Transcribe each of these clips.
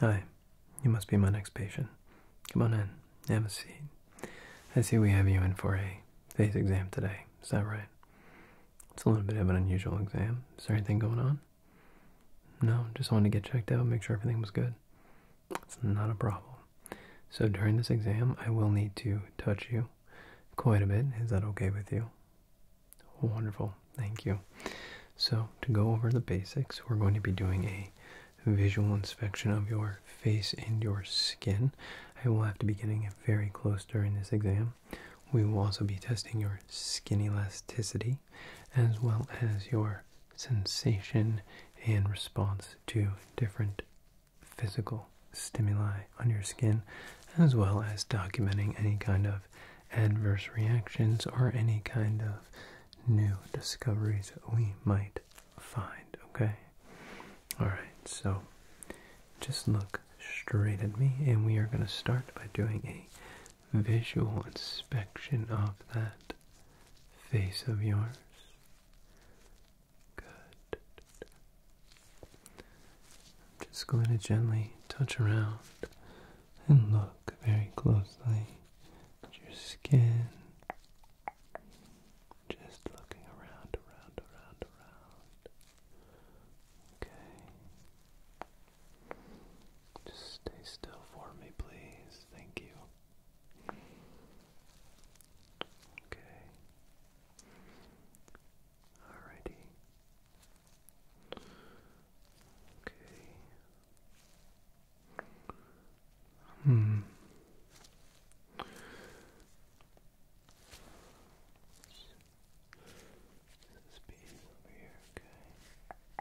Hi, you must be my next patient. Come on in, have a seat. I see we have you in for a face exam today, is that right? It's a little bit of an unusual exam. Is there anything going on? No, just wanted to get checked out, make sure everything was good. It's not a problem. So during this exam, I will need to touch you quite a bit. Is that okay with you? Wonderful. Thank you. So, to go over the basics, we're going to be doing a visual inspection of your face and your skin. I will have to be getting very close during this exam. We will also be testing your skin elasticity as well as your sensation and response to different physical stimuli on your skin, as well as documenting any kind of adverse reactions or any kind of new discoveries that we might find, okay? Alright, so just look straight at me and we are going to start by doing a visual inspection of that face of yours. Good. I'm just going to gently touch around and look very closely at your skin. Just looking around, around, around, around. Okay. Just stay still for me, please. Thank you. Okay. Alrighty. Okay. Hmm. This over here, okay.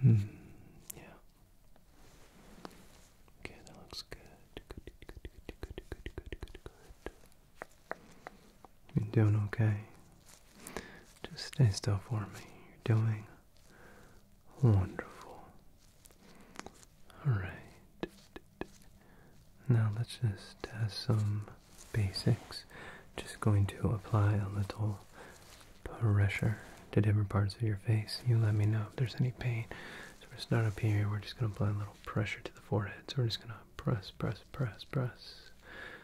Hmm. Yeah. Okay, that looks good. Good, good, good, good, good, good, good, good. You're doing okay. Just stay still for me. You're doing wonderful. Alright. Now let's just test some basics. Just going to apply a little pressure to different parts of your face. You let me know if there's any pain. So we're start up here. We're just going to apply a little pressure to the forehead. So we're just going to press, press, press, press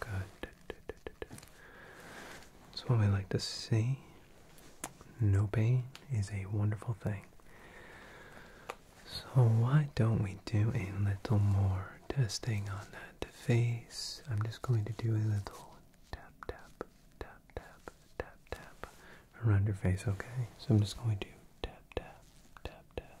Good. So what we like to see, no pain is a wonderful thing. So why don't we do a little more testing on that face? I'm just going to do a little tap, tap, tap, tap, tap, tap around your face, okay? So I'm just going to tap, tap, tap, tap,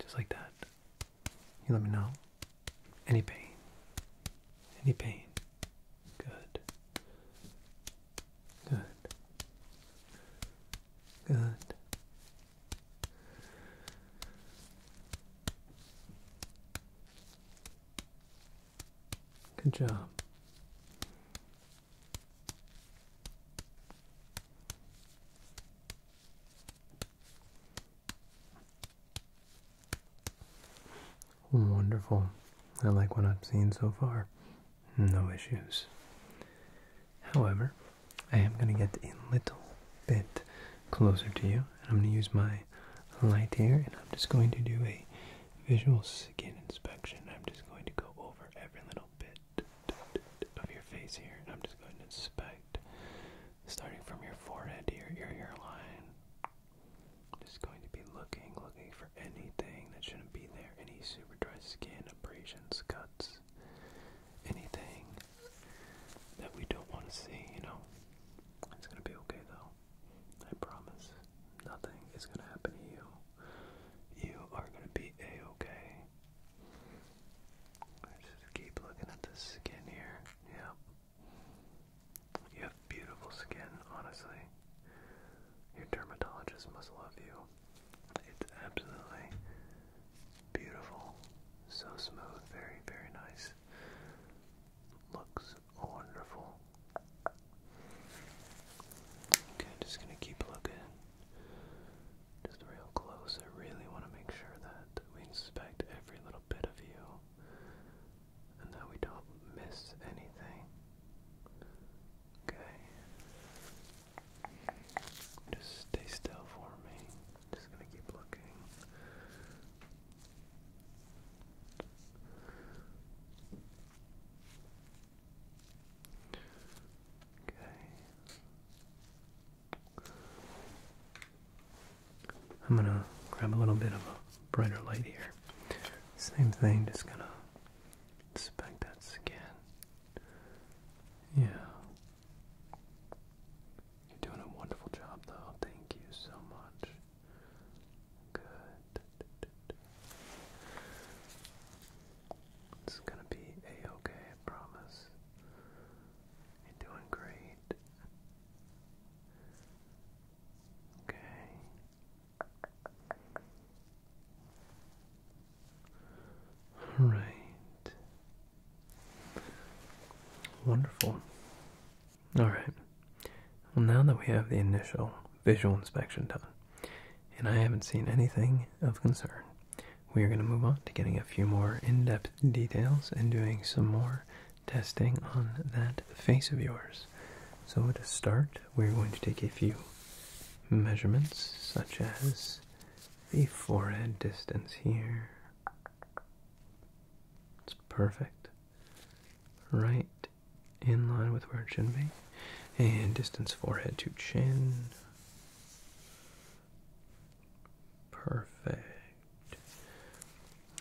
Just like that. You let me know. Any pain. Any pain. Good. Good. Good. Good job. Wonderful. I like what I've seen so far. No issues. However, I am going to get a little bit closer to you. And I'm going to use my light here and I'm just going to do a visual skin inspection. I'm just going to go over every little bit of your face here. I'm just going to inspect, starting from your forehead to your, ear line. just going to be looking, looking for anything that shouldn't be there. Any super dry skin, abrasions, cuts, anything that we don't want to see, you know. It's going to be okay though. I promise. Nothing is going to happen to you. You are going to be a-okay. Let's just keep looking at the skin here. Yeah, You have beautiful skin, honestly. Your dermatologist must love you. It's absolutely beautiful. So smooth, very, very nice. Looks wonderful. Okay, I'm just gonna keep looking. Just real close. I really want to make sure that we inspect every little bit of you and that we don't miss anything. Okay. Just stay still for me. Just gonna keep looking. Okay. I'm gonna grab a little bit of a brighter light here. Same thing, just gonna inspect that skin. Yeah. You're doing a wonderful job though. Thank you so much. Good. It's gonna be a-okay, I promise. You're doing great. Okay. All right. Wonderful. All right. Well, now that we have the initial visual inspection done, and I haven't seen anything of concern. We are going to move on to getting a few more in depth details and doing some more testing on that face of yours. So, to start, we're going to take a few measurements, such as the forehead distance here. It's perfect. Right in line with where it should be. And distance forehead to chin. Perfect.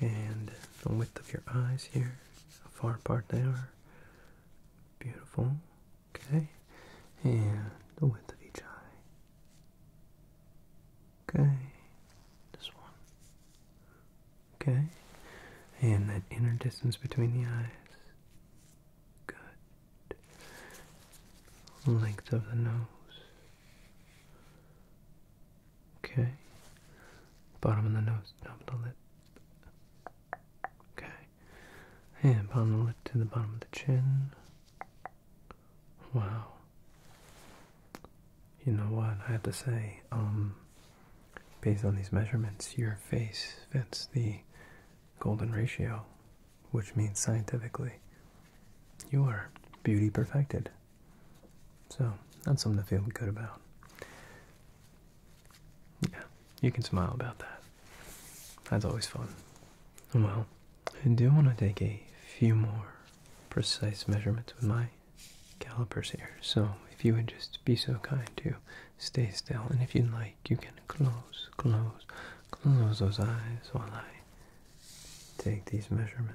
And the width of your eyes here, how far apart they are. Beautiful. Okay. And the width of each eye. Okay. This one. Okay. And that inner distance between the eyes. Good. Length of the nose. Okay. Bottom of the nose, top of the lip. Okay. And bottom of the lip to the bottom of the chin. Wow. You know what? I have to say, um, based on these measurements, your face fits the golden ratio, which means scientifically, you are beauty perfected. So that's something to feel good about. Yeah, you can smile about that. That's always fun. Well, I do want to take a few more precise measurements with my calipers here. So if you would just be so kind to stay still. And if you would like, you can close, close, close those eyes while I take these measurements.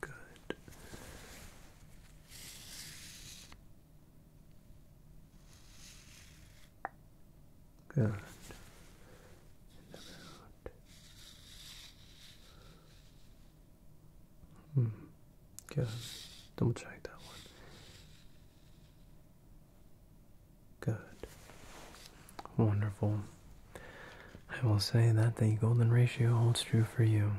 good. Good. Hmm. Good. Double check that one. Good. Wonderful. I will say that the golden ratio holds true for you.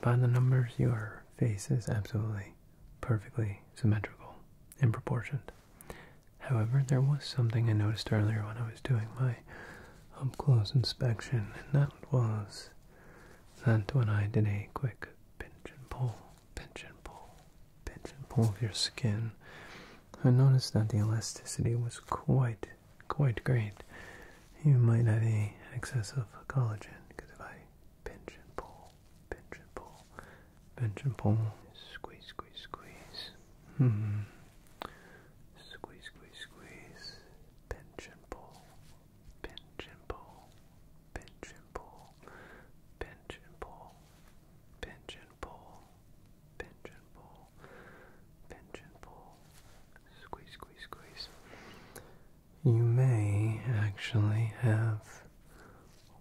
By the numbers, your face is absolutely perfectly symmetrical and proportioned. However, there was something I noticed earlier when I was doing my up close inspection, and that was that when I did a quick pinch and pull, pinch and pull, pinch and pull of your skin. I noticed that the elasticity was quite, quite great. You might have a excess of collagen because if I pinch and pull, pinch and pull, pinch and pull, squeeze, squeeze, squeeze. Hmm. Squeeze, squeeze, squeeze. Pinch and pull, Pinch and pull, pinch and pull, pinch and pull, pinch and pull, pinch and pull, pinch and pull, squeeze, squeeze, squeeze. You may actually have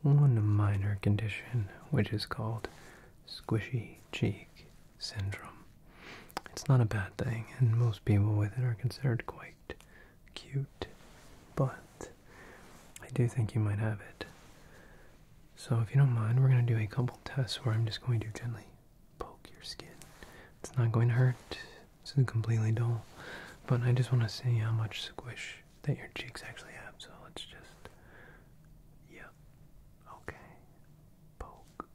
one minor condition which is called squishy cheek syndrome. It's not a bad thing, and most people with it are considered quite cute, but I do think you might have it. So, if you don't mind, we're going to do a couple tests where I'm just going to gently poke your skin. It's not going to hurt, this is completely dull, but I just want to see how much squish that your cheeks actually have. So, let's just. Yep. Okay. Poke.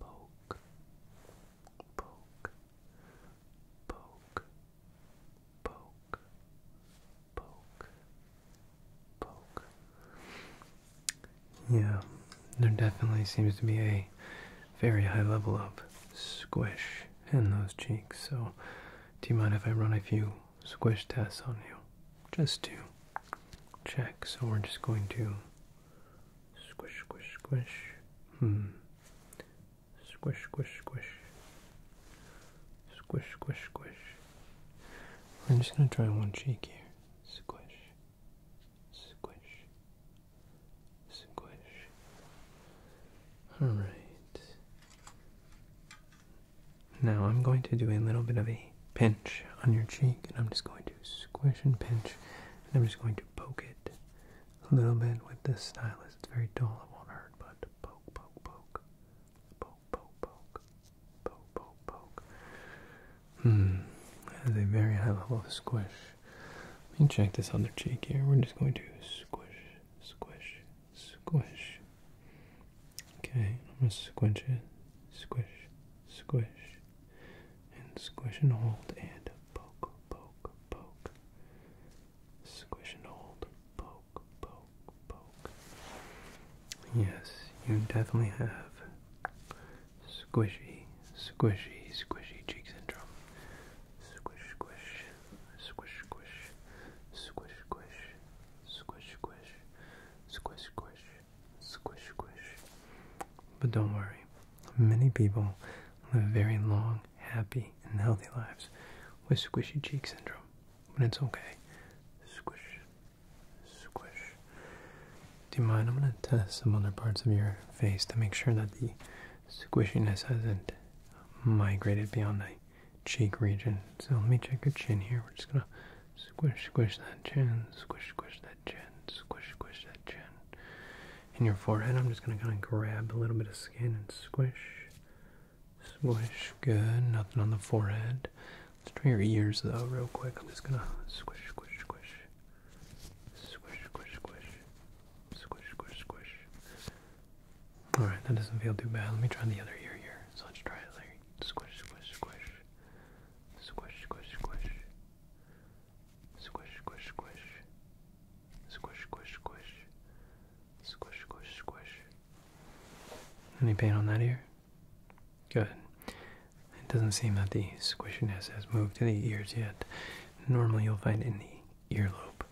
Poke. Yeah, there definitely seems to be a very high level of squish in those cheeks, so do you mind if I run a few squish tests on you? Just to check. So we're just going to Squish, squish, squish. Hmm. Squish, squish, squish. Squish, squish, squish. I'm just going to try one cheek here. Squish, squish, squish. Alright. Now I'm going to do a little bit of a pinch on your cheek, and I'm just going to squish and pinch and I'm just going to poke it a little bit with this stylus. It's very dull, it won't hurt, but poke, poke, poke. Poke, poke, poke. Poke, poke, poke. Hmm. That is a very high level of squish. Let me check this other cheek here. We're just going to squish, squish, squish. Okay, I'm going to squish it. Squish, squish, and squish and hold and poke, poke, poke. Squish and hold, poke, poke, poke. Yes, you definitely have squishy, squishy, squishy cheeks and Squish, squish, squish, squish, squish, squish, squish, squish, squish, squish, squish squish, squish. But don't worry, many people live very long, happy, and healthy lives with squishy cheek syndrome. But it's okay. Squish, squish. Do you mind? I'm going to test some other parts of your face to make sure that the squishiness hasn't migrated beyond the cheek region. So let me check your chin here. We're just going to squish, squish that chin, squish, squish that that chin, squish, squish that chin. In your forehead, I'm just gonna kind of grab a little bit of skin and squish, squish. Good, nothing on the forehead. Let's try your ears though, real quick. I'm just gonna squish, squish, squish, squish, squish, squish, squish, squish, squish. All right, that doesn't feel too bad. Let me try the other ear here. So let's try it. Like squish, squish, squish, squish, squish, squish. Squish, squish, squish. Squish, squish, squish. Squish, squish, squish. Any pain on that ear? Good. It doesn't seem that the squishiness has moved to the ears yet. Normally you'll find in the earlobe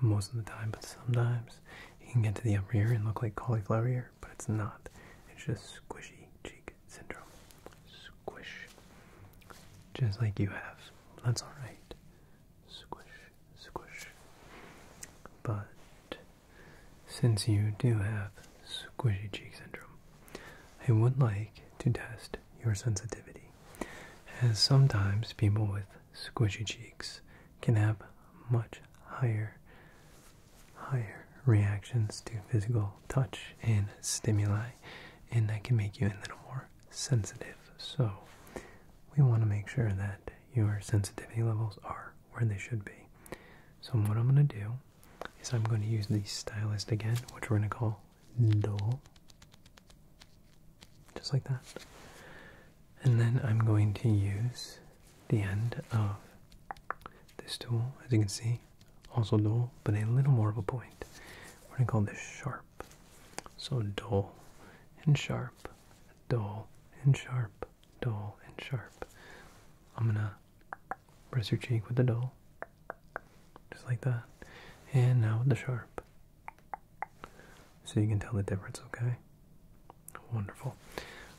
most of the time, but sometimes you can get to the upper ear and look like cauliflower ear, but it's not. It's just squishy cheek syndrome. Squish. Just like you have. That's alright. Squish, squish. But since you do have squishy cheek syndrome, I would like to test your sensitivity, as sometimes people with squishy cheeks can have much higher higher reactions to physical touch and stimuli, and that can make you a little more sensitive. So, we want to make sure that your sensitivity levels are where they should be. So, what I'm going to do is I'm going to use the stylist again, which we're going to call dull, just like that. And then I'm going to use the end of this tool, as you can see, also dull, but a little more of a point. We're going to call this sharp. So dull and sharp, dull and sharp, dull and sharp. I'm going to press your cheek with the dull, just like that. And now with the sharp. So you can tell the difference, okay? Wonderful.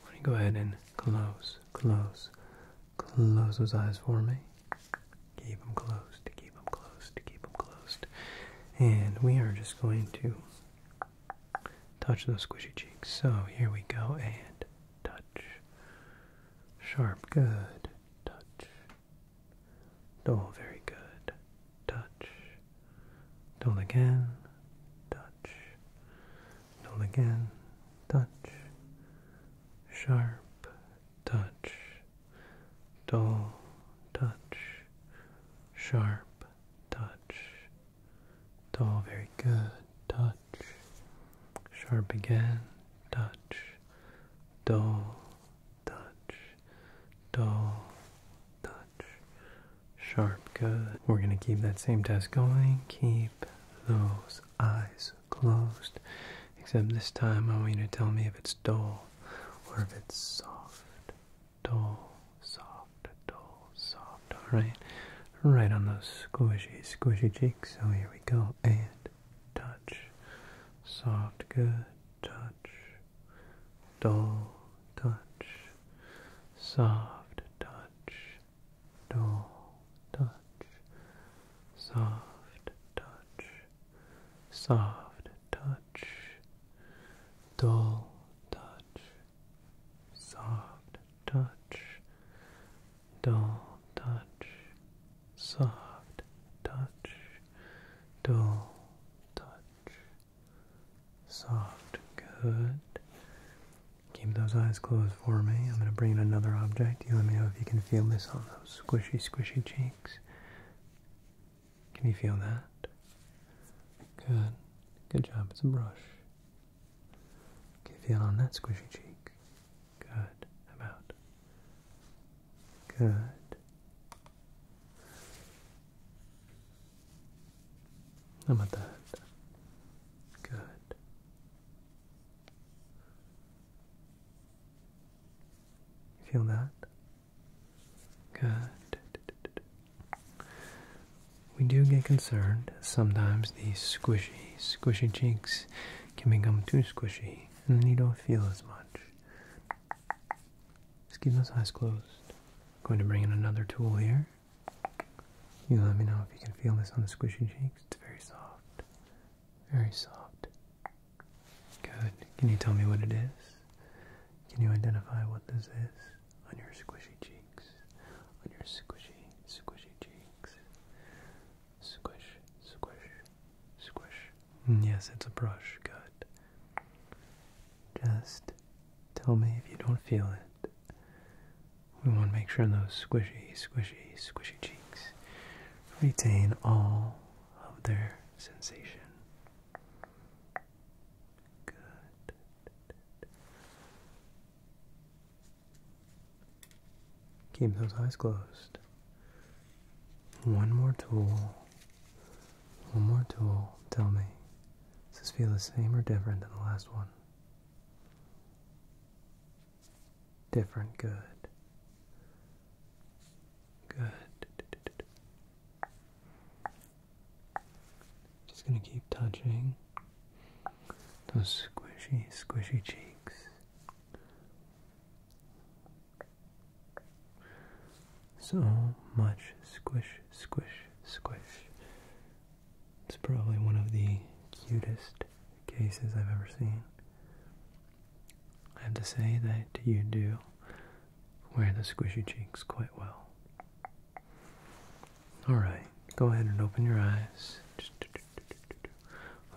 Let me go ahead and close close, close, those eyes for me. Keep them closed, keep them closed, keep them closed. And we are just going to touch those squishy cheeks. So here we go, and touch. Sharp, good. Touch. Oh, very good. Touch. Dull again. Touch. Dull again. Touch. Sharp. Touch. Dull. Touch. Sharp. Touch. Dull. Very good. Touch. Sharp again. Touch. Dull. Touch. Dull. Touch. Sharp. Good. We're going to keep that same test going. Keep those eyes closed. Except this time I want you to tell me if it's dull or if it's soft. Dull, soft, dull, soft. Alright. Right on those squishy, squishy cheeks. So here we go. And touch. Soft, good. Touch. Dull, touch. Soft, touch dull touch, soft touch, soft touch, dull touch, soft touch, dull touch, soft touch, dull touch, soft good, Keep those eyes closed for me. I'm going to bring in another object. You let me know if you can feel this on those squishy, squishy cheeks. Can you feel that? Good. Good job. It's a brush. Can you feel on that squishy cheek? Good. How about? Good. How about that? Good. Feel that? Good. We do get concerned. Sometimes these squishy, squishy cheeks can become too squishy and then you don't feel as much. Just keep those eyes closed. I'm going to bring in another tool here. You let me know if you can feel this on the squishy cheeks. It's very soft. Very soft. Good. Can you tell me what it is? Can you identify what this is on your squishy cheeks? On your squishy, squishy cheeks. Squish, squish, squish. Mm, yes, it's a brush. Good. Just tell me if you don't feel it. We want to make sure those squishy, squishy, squishy cheeks retain all of their sensation. Good. Keep those eyes closed. One more tool. One more tool. Tell me. Does this feel the same or different than the last one? Different good. Good. Just going to keep touching those squishy, squishy cheeks. So much squish, squish, squish. It's probably one of the cutest cases I've ever seen. I have to say that you do wear the squishy cheeks quite well. Alright, go ahead and open your eyes.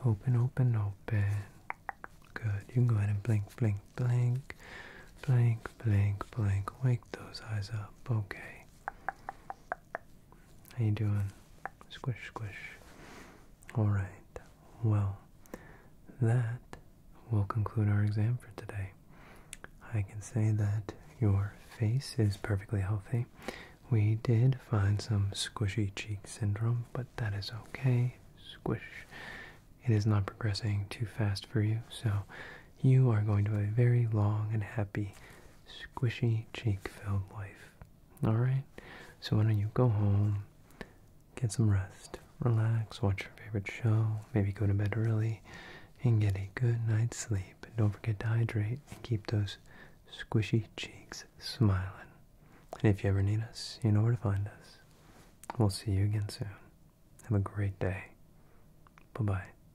open, open, open. Good. You can go ahead and blink, blink, blink. Blink, blink, blink. Wake those eyes up. Okay. How you doing? Squish, squish. All right. Well, that will conclude our exam for today. I can say that your face is perfectly healthy. We did find some squishy cheek syndrome, but that is okay. Squish. It is not progressing too fast for you, so you are going to have a very long and happy, squishy, cheek-filled life. All right? So why don't you go home, get some rest, relax, watch your favorite show, maybe go to bed early, and get a good night's sleep. And don't forget to hydrate and keep those squishy cheeks smiling. And if you ever need us, you know where to find us. We'll see you again soon. Have a great day. Bye-bye.